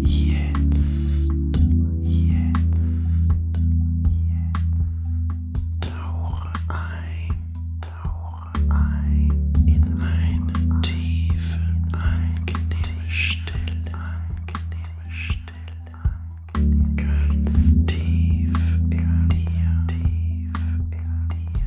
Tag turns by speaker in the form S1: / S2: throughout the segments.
S1: Jetzt, jetzt, jetzt. Tauche ein, tauche ein in eine tiefe, angenehme Stille, angenehme Stille, ganz tief in dir, tief in dir.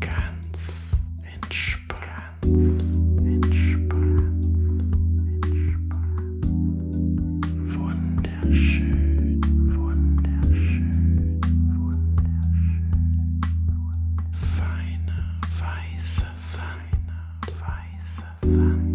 S1: Ganz entspannt. Wunderschön, wunderschön, wunderschön. Feiner, weißer Sand, weißer Sand, weißer Sand.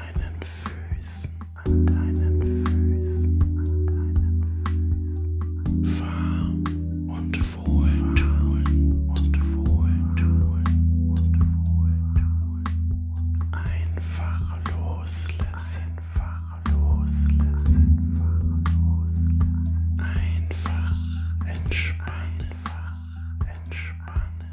S1: deinen Füßen, an deinen Füßen, an deinen Füßen. Warm und wohltuend und wohltuend und wohltuend. Einfach loslassen, einfach loslassen, einfach loslassen. Einfach entspannen, einfach entspannen.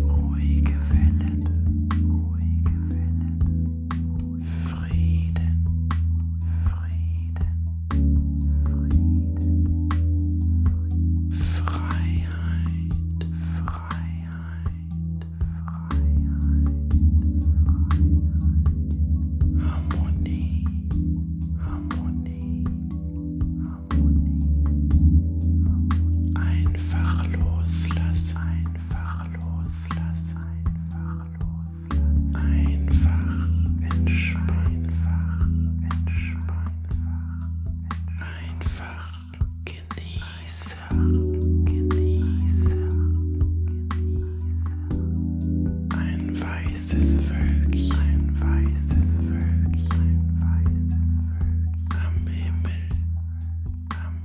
S1: Ruhige Wellen. Ruhige Wellen. Frieden. Frieden. Frieden. Freiheit. Freiheit. Freiheit. Harmonie. Harmonie. Harmonie. Einfach loslassen. Einfach einfach los. Lass einfach los. Lass einfach entspannen. Einfach entspannen. Einfach genieße. Genieße. Genieße. Ein weißes Wölkchen. Ein weißes Wölkchen. Ein weißes Wölkchen. Am Himmel. Am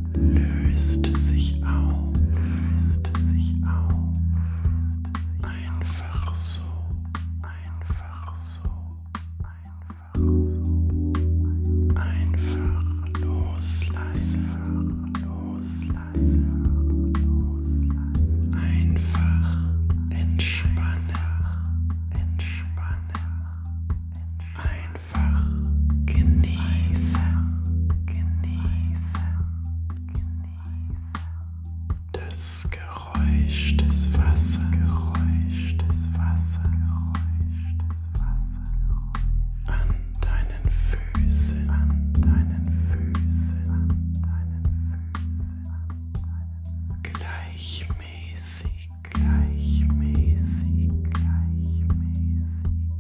S1: löst sich auf. Löst sich auf. Einfach so. Einfach so. Einfach so. Einfach loslassen. Einfach loslassen. Einfach entspannen. Entspannen. Einfach einfach genießen. Das Geräusch des Wassers. An deinen Füßen. An deinen Füßen. An deinen Füßen. Gleichmäßig. Gleichmäßig. Gleichmäßig.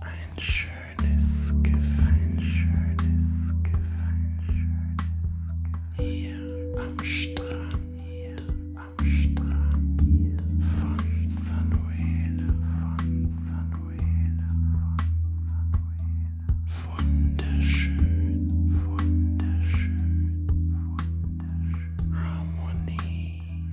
S1: Ein schönes Gefühl. Ein schönes Gefühl. Hier am Strand. Hier am Strand. Von Sanuela. Von Sanuela. Von Sanuela. Wunderschön. Wunderschön. Wunderschön. Harmonie.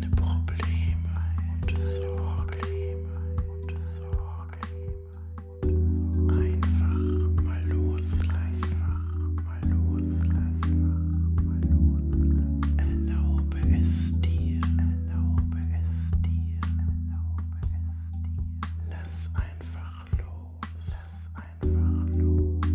S1: deine Probleme und Sorgen. Einfach mal loslassen. Erlaube es dir. Erlaube es dir. Erlaube es dir. Lass einfach los. Lass einfach los. Einfach los.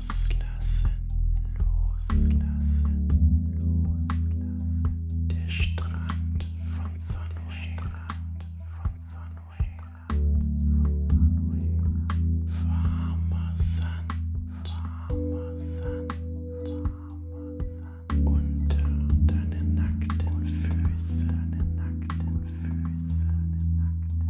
S1: Loslassen, loslassen, loslassen. Der Strand von Sunwayland, von Sunwayland, von Sunwayland. Warmer Sand, warmer Sand, warmer Sand. Unter deine nackten Füße, deine nackten Füße, deine nackten Füße.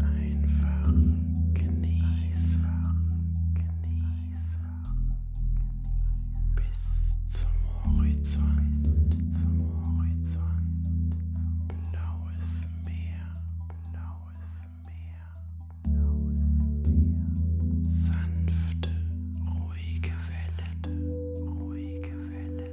S1: Einfach genießen. Bis zum Horizont. Zum Horizont. Blaues Meer. Blaues Meer. Blaues Meer. Sanfte, ruhige Wellen. Ruhige Wellen.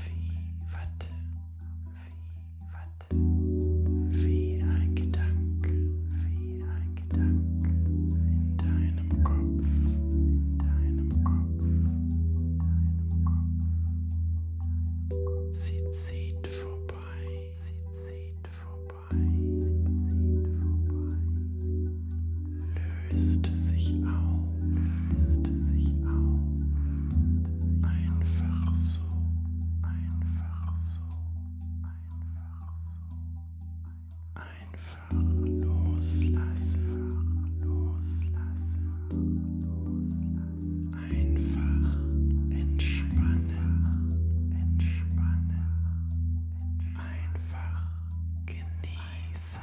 S1: Wie Watte. Wie Watte. Wie ein Gedanke. Wie ein Gedanke. In deinem Kopf. In deinem Kopf. In deinem Kopf. Sie zieht vorbei. Sie zieht vorbei. Sie zieht vorbei. Löst löst sich auf. Löst sich auf. Einfach so. Einfach so. Einfach so. Einfach loslassen. Loslassen. Einfach entspannen. Entspannen. Einfach genießen.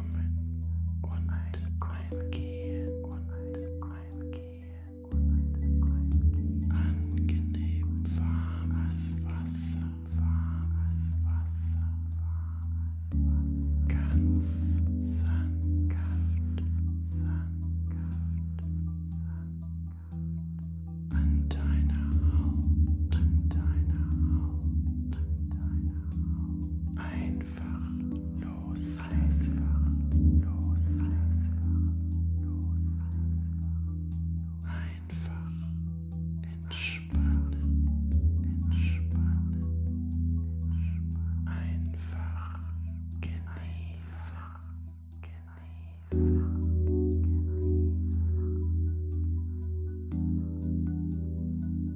S1: Einkommen und Eingehen und Eingehen. Angenehm warmes Wasser, warmes Wasser, warmes Wasser. Ganz sanft, sanft. An deiner Haut, an deiner Haut, an deiner Einfach los. Einfach los. Einfach entspannen. Entspannen. Einfach genießen. Genießen.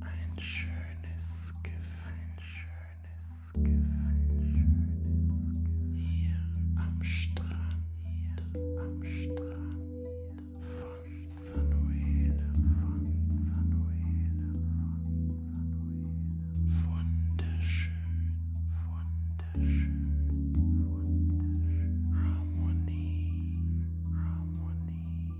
S1: Ein schönes Gefühl. Ein schönes Gefühl. Hier am Strand. Hier am Strand. Von Sanuela. Von Sanuela. Von Sanuela. Wunderschön. Wunderschön. Wunderschön. Harmonie. Harmonie.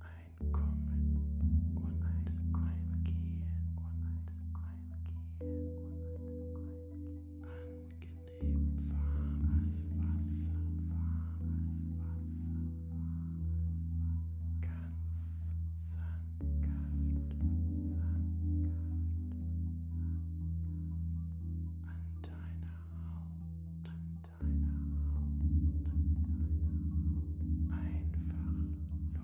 S1: Einkommen und Einkehren angenehm warmes warmes Wasser, ganz sanft, an deiner Haut, einfach